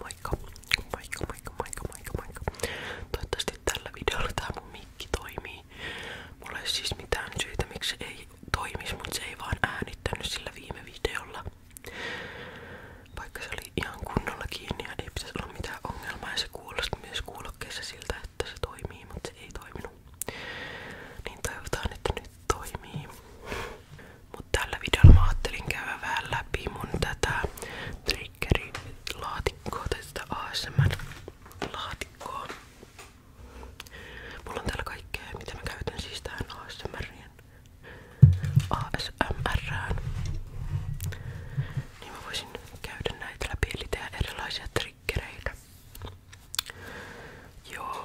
Moikka, moikka, moikka, moikka, moikka, moikka. Toivottavasti tällä videolla tää mun mikki toimii. Mulla ei siis mitään syytä miksi se ei toimisi, mutta se ei vaan äänittänyt sillä viime videolla. Vaikka se oli ihan kunnolla kiinni ja ei pitäisi olla mitään ongelmaa ja se kuulosti myös kuulokkeessa siltä, että se toimii, mutta se ei toiminut. Niin toivotaan, että nyt toimii. Mutta tällä videolla mä ajattelin käydä vähän läpi mun tätä triggeri-laatikkoa tai sitä ASMR-laatikkoa. Mulla on täällä kaikkea, mitä mä käytän siis tähän ASMRien. ASMRään. Niin mä voisin käydä näitä läpi, eli tehdä erilaisia triggereitä. Joo.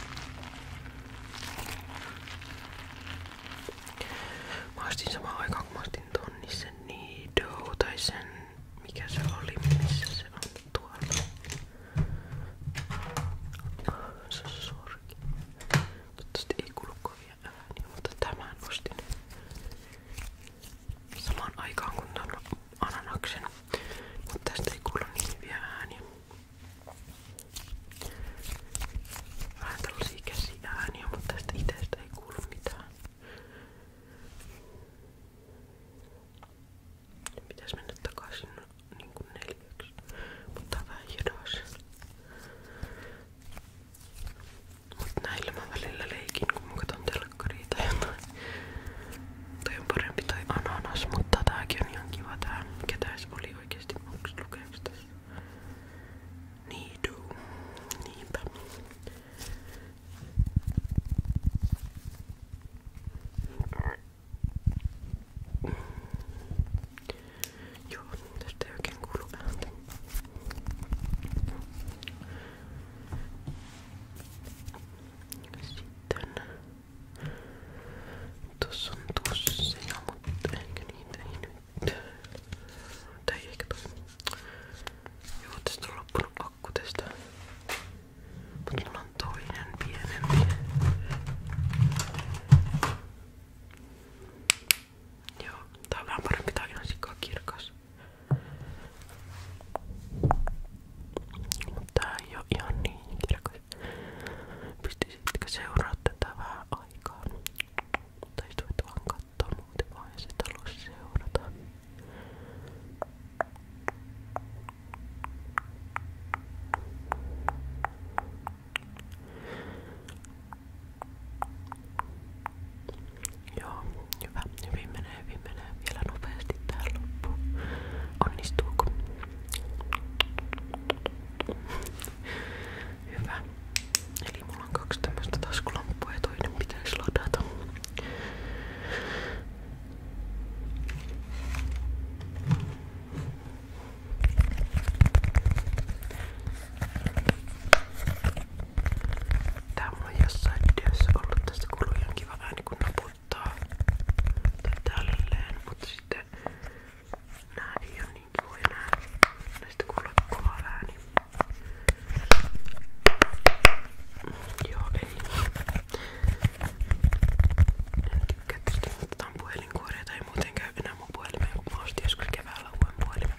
Mä ostin samaan aikaan kun mä ostin ton, niin sen Nido tai sen mikä se oli, missä se on tuolla. Se on sorki. Toivottavasti ei kuulu kovia ääniä, mutta tämän ostin. Samaan aikaan kun tämän ananaksen. Mutta tästä ei kuulu niin hyviä ääniä. Vähän tällaisia käsiääniä, mutta tästä itsestä ei kuulu mitään. Pitäis mennä takaisin no, niin kuin neljäksi. Mutta vähän hidas. Mut näillä mä välillä leikin, kun mä katon telkkaria tai jotain. Toi on parempi toi ananas, mutta tääkin on ihan kiva tää. Ketäis oli oikeesti onks lukeeks tässä? Niidu. Niinpä. Joo, tästä ei oikein kuulu ääntä. Sitten tossa on tusseja, no, mutta ehkä niitä ei nyt. Tai ehkä toi. Joo, tästä on loppunut akku tästä. Mut mulla on toinen pienempi. Joo, tää on vähän parempi, tää on ihan sikaa kirkas. Mutta tää ei oo ihan niin kirkas. Pystisitkö seuraa tätä vähän aikaa? Tai voit vaan kattoo muuten vaan ja sit halus seurata. Joo, hyvä. Hyvin menee, hyvin menee. Vielä nopeasti tää loppu. Onnistuuko? Hyvä. Eli mulla on kaksi tämmöstä taskulamppua ja toinen pitäisi ladata. Tää mulla on jossain videossa ollut tästä kulujankin vaan vähän niinku naputtaa tai tälleen, mutta sitten nää ei oo niin kivoja nää. Näistä kuulee kova ääni. Niin joo, ei. En tykkää tietysti, mutta tää on puhelinkuoria tai ei muuten käy enää mun puhelimeen, kun mä ostin joskus keväällä uuden puhelimen.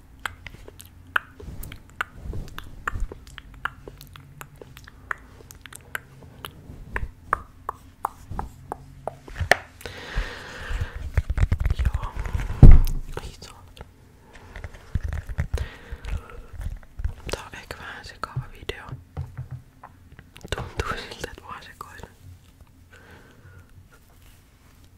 Ja, ei saanut. Tää on ehkä vähän sekava video. Tuntuu siltä, että mä sekoilen.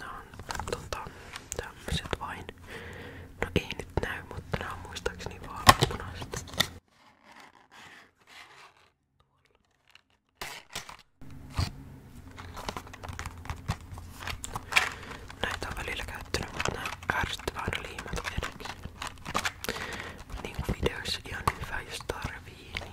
Nämä on tota, tämmöiset vain. No ei nyt näy, mutta nämä on muistaakseni vaaleanpunaiset. Näitä on välillä käyttänyt, mutta nämä ärsyttävää aina liimat edelleen. Niin kuin videoissa ihan hyvä, jos tarvii, niin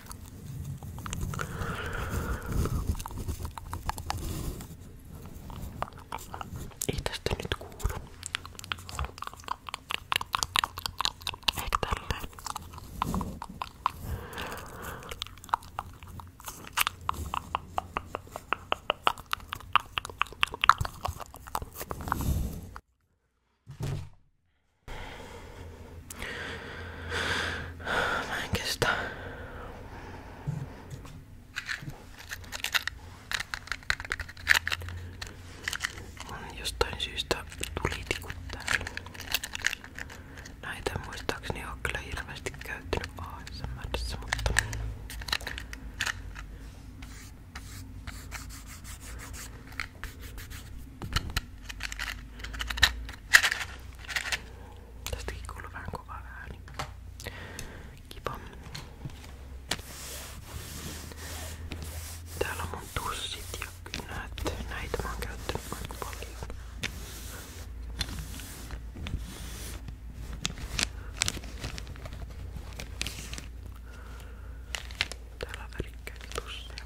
Ei tästä nyt kuulu. Ehkä tälleen. Mä en kestä. On jostain syystä tulitikut täällä. Näitä muistaakseni on kyllä hirveästi käyttänyt ASMRissä, mutta... Tästäkin kuuluu vähän kova ääni. Kiva. Täällä on mun tussit ja kynät. Näitä mä oon käyttänyt aika paljon. Täällä on värikkäitä tusseja.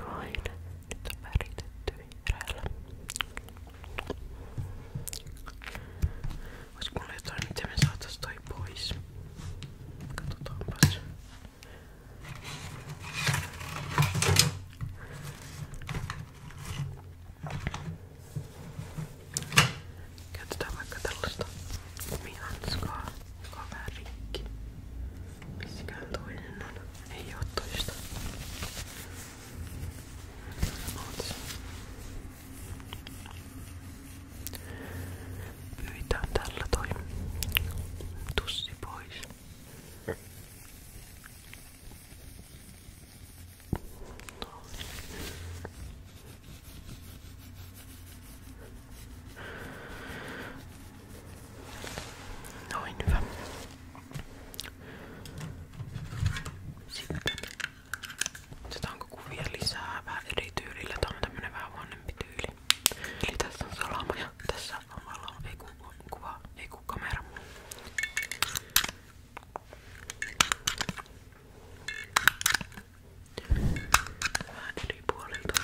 Noin. Nyt on väritetty vihreällä. Ois mulla jotain, miten me saatais toi pois. Katsotaanpas. Käytetään vaikka tällaista kumihanskaa, joka on vähän rikki. Missäkään toinen on? Ei oo toista. Oot. Pyytään tällä toi tussi pois. No. Noin hyvä. Sitten otetaanko kuvia lisää vähän eri tyylillä. Tää on tämmönen vähän vanhempi tyyli. Eli tässä on salama ja tässä on valo. Ei ku, kuva, ei ku kamera. Vähän eri puolilta.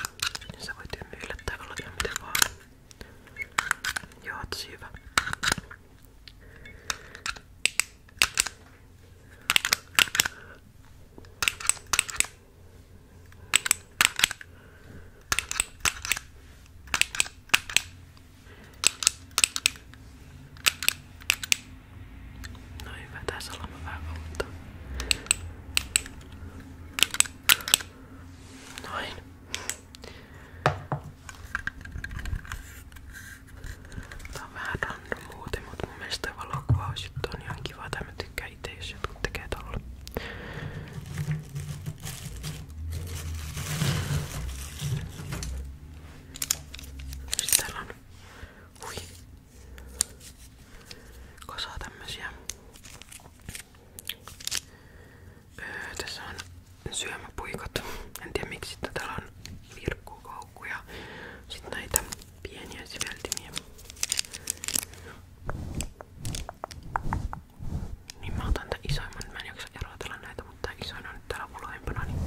Ja sä voit hymyillä tai olla ihan mitä vaan. Joo, tosi siis hyvä. No hyvä, tässä ollaan vähän kautta. Noin. Tää on vähän random muuten, mutta mun mielestä toi valokuvausjuttu on ihan kiva. Tää mä tykkään itse, jos jotkut tekee tolla. Sitten täällä on hui, kosa tämmösiä Öö, tässä on syömäpuikot. En tiedä miksi täällä on virkkukoukkuja. Sitten näitä pieniä siveltimiä. Niin mä otan tämän isoimman. Mä en jaksa erotella näitä, mutta tää isoin on nyt täällä uloimpana. Niin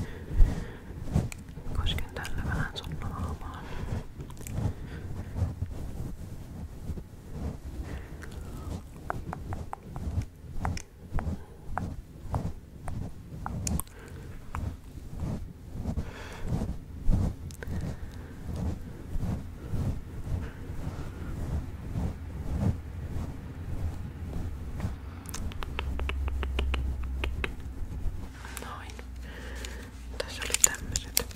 kosken tällä vähän sun naamaa. Noin. Tässä oli tämmöiset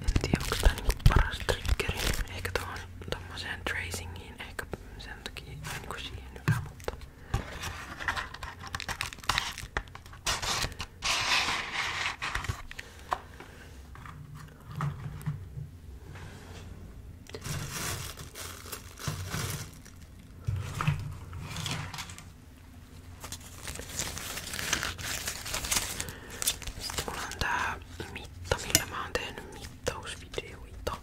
En tiedä onko tää niinku paras triggeri. Ehkä tohon tommoseen tracingiin. Ehkä sen takia niinku siihen hyvä, mutta... Sitten mulla on tää mitta, millä mä oon tehnyt mittausvideoita.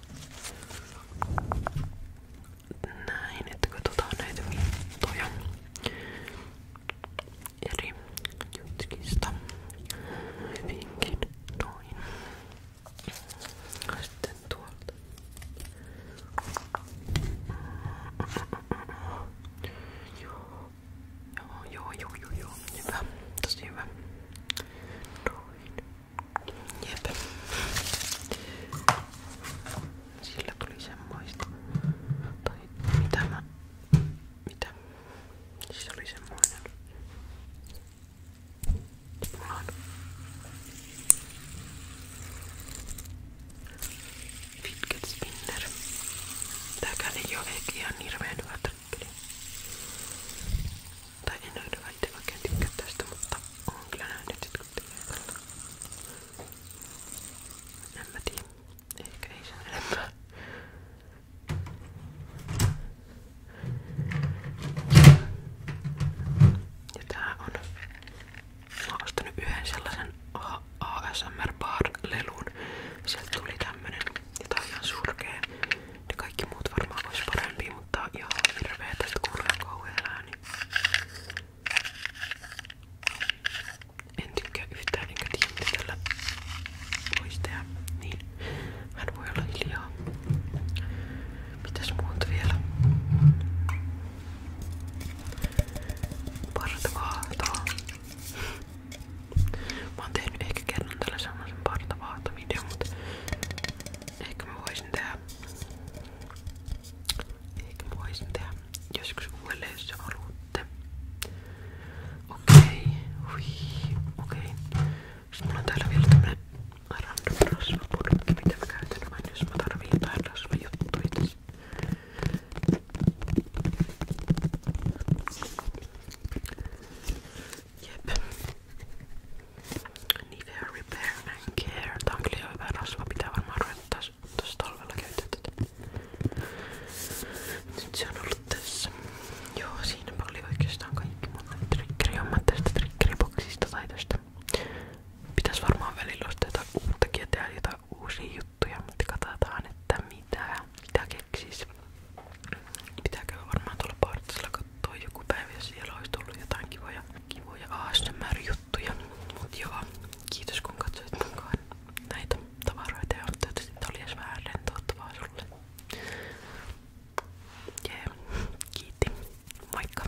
Näin, että katsotaan näitä mittoja eri jutkista. Hyvinkin noin. Sitten tuolta. Mm, mm, Joo. Joo, joo, joo, joo, joo. Hyvä. Tosi hyvä. Noin. Jep. Sillä tuli semmoista. Tai mitä mä... Mitä? Siis oli semmoinen. Mulla on fidget spinner. Tääkään ei oo ehkä ihan hirveen hyvä trikkeli. Tai en ole hyvä itse oikein tykkää tästä, mutta oon kyllä nähnyt jotkut tekee tällä. En mä tiedä. Ehkä ei sen enempää. Ja tää on Mä oon ostanut yhden sellaisen ASMR Bar-lelun. Sieltä tuli tämmönen, jota on ihan surkea. Ne kaikki muut varmaan vois parempi, mutta tää on ihan hirveä. Tästä kuulee kauhean ääni. En tykkää yhtään enkä tiedä mitä tällä voisi tehdä. Niin, hän voi olla hiljaa. Mitäs muuta vielä? Parta vaahtoa. Mä oon tehnyt ehkä kerran tällä semmosen parta vaahtovideon, mutta ehkä mä voisin tehdä ehkä mä voisin tehdä joskus uudelleen, jos haluatte. Okei, hui, okei. Sitten mulla on täällä vielä tämmönen random rasvapurkki, mitä mä käytän aina, jos mä tarviin jotain rasvajuttuja tässä. Jep. Nivea Repair and Care. Tää on kyllä hyvä rasva. Pitää varmaan ruveta tuossa talvella käyttää tätä. Nyt se on ollut tässä. Joo, siinäpä oli oikeastaan kaikki monta triggeriä. Mä tästä triggeriboksista tai tästä. Pitäis varmaan välillä ostaa jotain uuttakin ja tehdä löytää uusia juttuja, mutta katsotaan, että mitä, mitä keksis. Pitääkö varmaan tuolla partsilla katsoa joku päivä, jos siellä olisi tullut jotain kivoja, kivoja ASMR-juttuja. Mut joo, kiitos kun katsoit mukaan näitä tavaroita ja toivottavasti tää oli edes vähän rentouttavaa sulle. Jee, yeah. kiitti. Moikka!